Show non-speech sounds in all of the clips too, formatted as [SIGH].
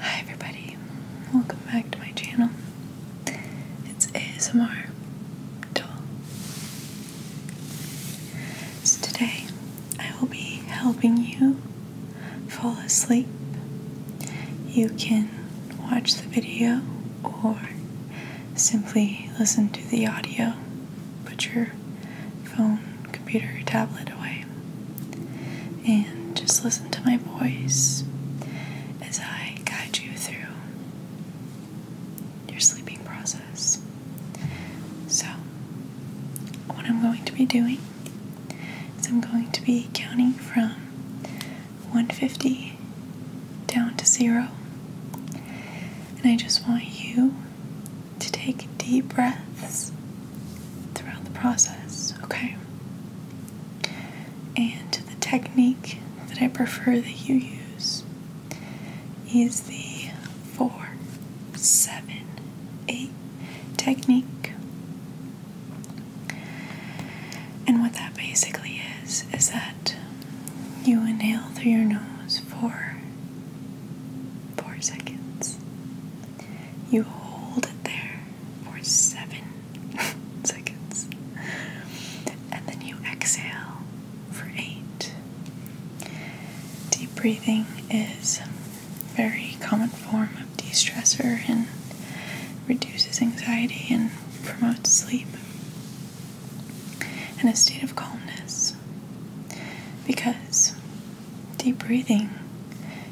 Hi everybody, welcome back to my channel. It's ASMR Doll. So today I will be helping you fall asleep. You can watch the video or simply listen to the audio, but you're phone, computer, or tablet away and just listen to my voice as I guide you through your sleeping process. So, what I'm going to be doing is I'm going to be counting from 150 down to zero, and I just want you to take deep breaths throughout the process, okay? And the technique that I prefer that you use is the four, seven, eight technique. And what that basically is, is that you inhale through your nose four. 4 seconds. You hold it there for 7 [LAUGHS] seconds. And then you exhale for 8. Deep breathing is a very common form of de stressor and reduces anxiety and promotes sleep and a state of calmness because deep breathing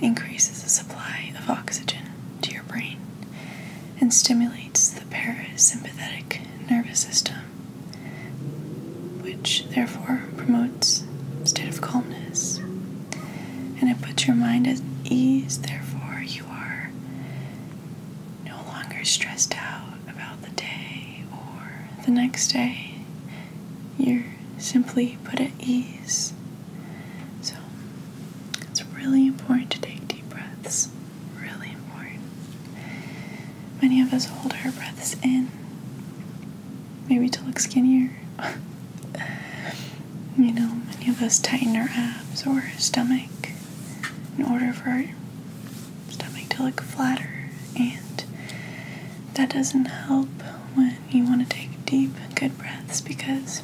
increases the supply of oxygen to your brain and stimulates the parasympathetic nervous system, which therefore promotes a state of calmness and it puts your mind at ease, therefore, you are no longer stressed out about the day or the next day, you're simply put at ease. So it's really important to take deep breaths. Really important. Many of us hold our breaths in, maybe to look skinnier. [LAUGHS] you know, many of us tighten our abs or stomach in order for stomach to look flatter, and that doesn't help when you want to take deep, good breaths because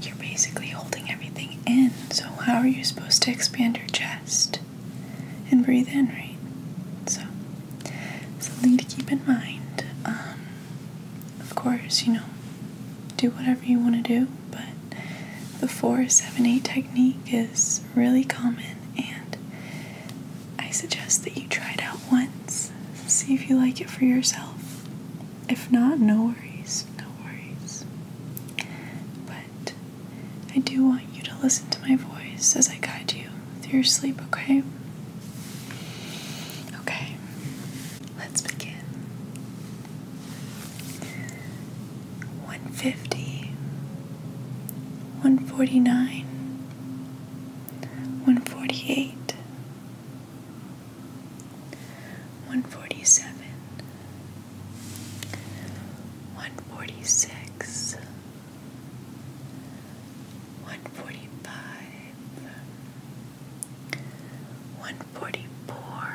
you're basically holding everything in. So, how are you supposed to expand your chest and breathe in, right? So, something to keep in mind. Um, of course, you know, do whatever you want to do but the 478 technique is really common and I suggest that you try it out once. See if you like it for yourself. If not, no worries, no worries. But I do want you to listen to my voice as I guide you through your sleep, okay? Okay, let's begin. 150 149 148 147 146 145 144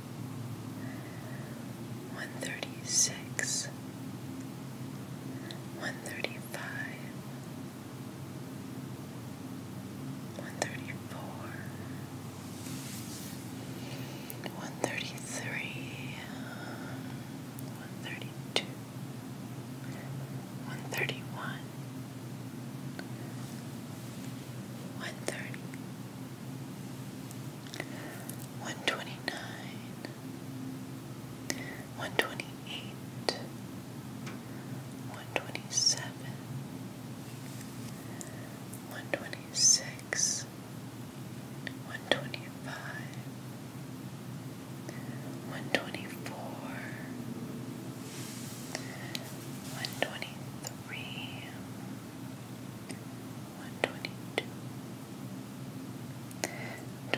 one thirty six, one thirty five, one thirty four, one thirty three, one thirty two, one thirty one. 130, 129 128 127 126 125 124 123 122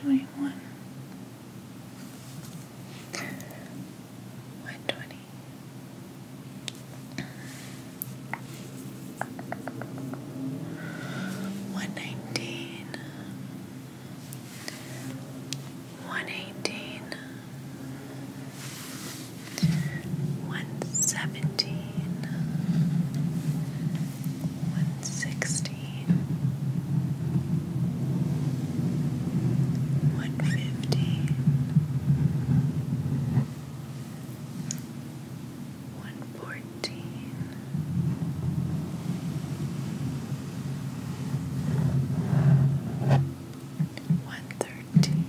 21 120 119 one seventeen, one sixteen, one fifteen, one fourteen. One thirteen, one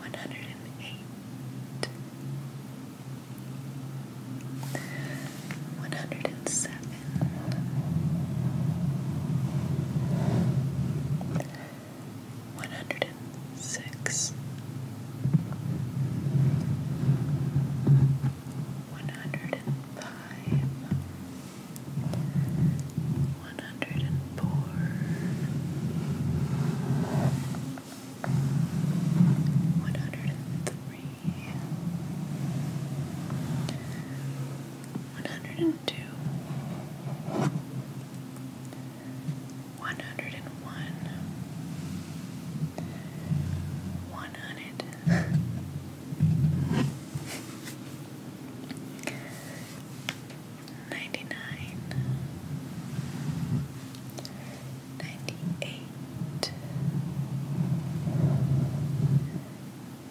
one hundred and eight, one hundred and seven, one hundred and six. One hundred and five, one hundred and four, one hundred and three, one hundred and two, one hundred and one, one hundred ninety nine, ninety eight,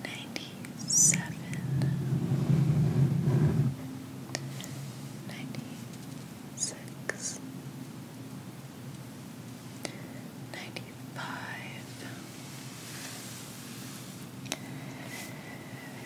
ninety seven, ninety six, ninety five.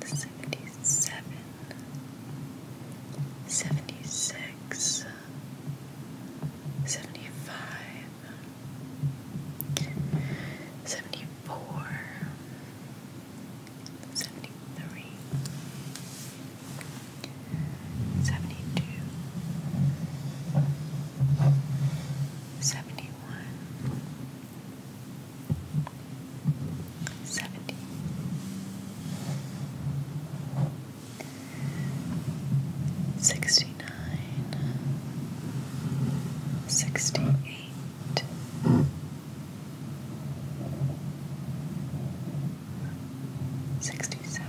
77 76 75 74 73 72 71 seventy. Sixty nine, sixty eight, sixty seven,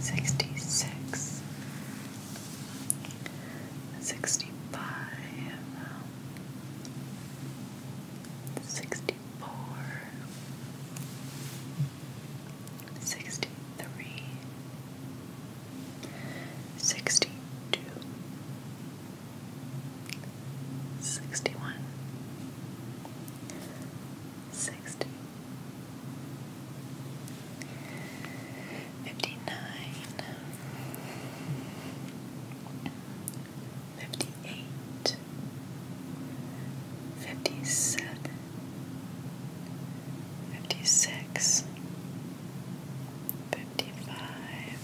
sixty six, 65 64 63 62 61 60 Fifty-nine, fifty-eight, fifty-seven, fifty-six, fifty-five,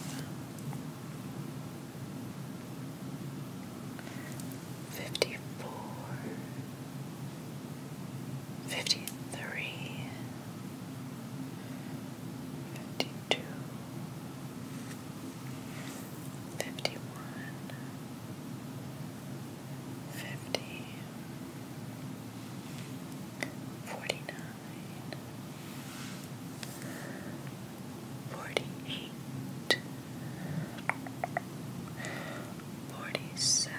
fifty-four. 53 fifty three, fifty two, fifty one, fifty, forty nine. Forty eight, forty seven,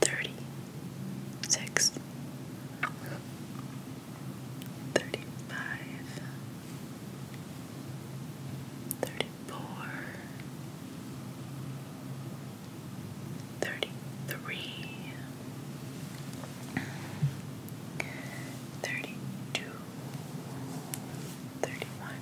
thirty six, thirty five, thirty four, thirty three, thirty two, thirty one.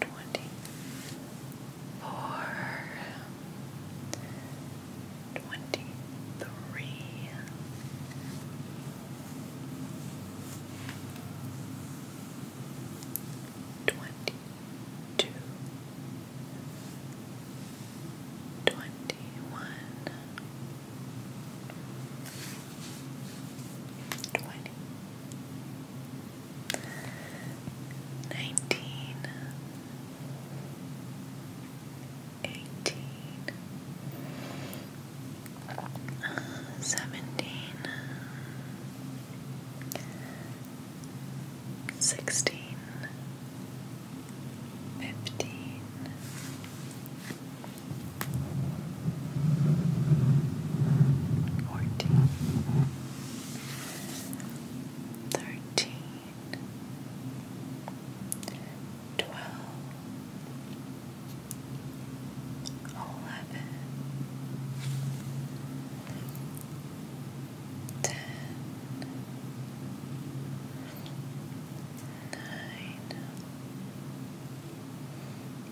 twenty-four, twenty-three, twenty-two, twenty-one, twenty. 20 nineteen, eighteen, seventeen, sixteen, fifteen. Fourteen, thirteen, twelve, eleven, ten, nine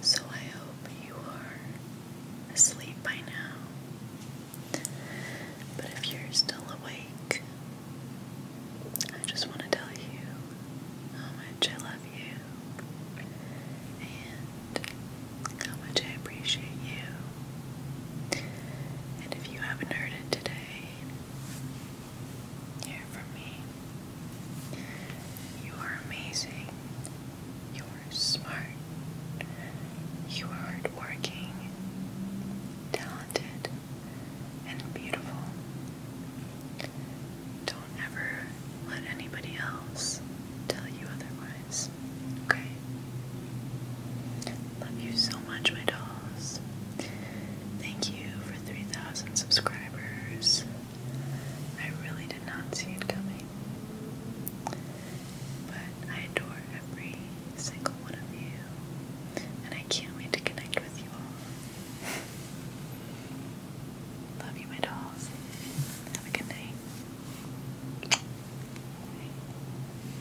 So I hope you are asleep by now. But if you're still awake, I just want to tell you how much I love you and how much I appreciate you and if you haven't heard it today, hear from me. You are amazing. You are smart. You are hardworking, talented, and beautiful. Don't ever let anybody else tell you otherwise. Okay? Love you so much, my dolls. Thank you for 3,000 subscribers. I really did not see it coming. But I adore every single one of you, and I can't wait to connect with you all. Love you, my dolls. Have a good night.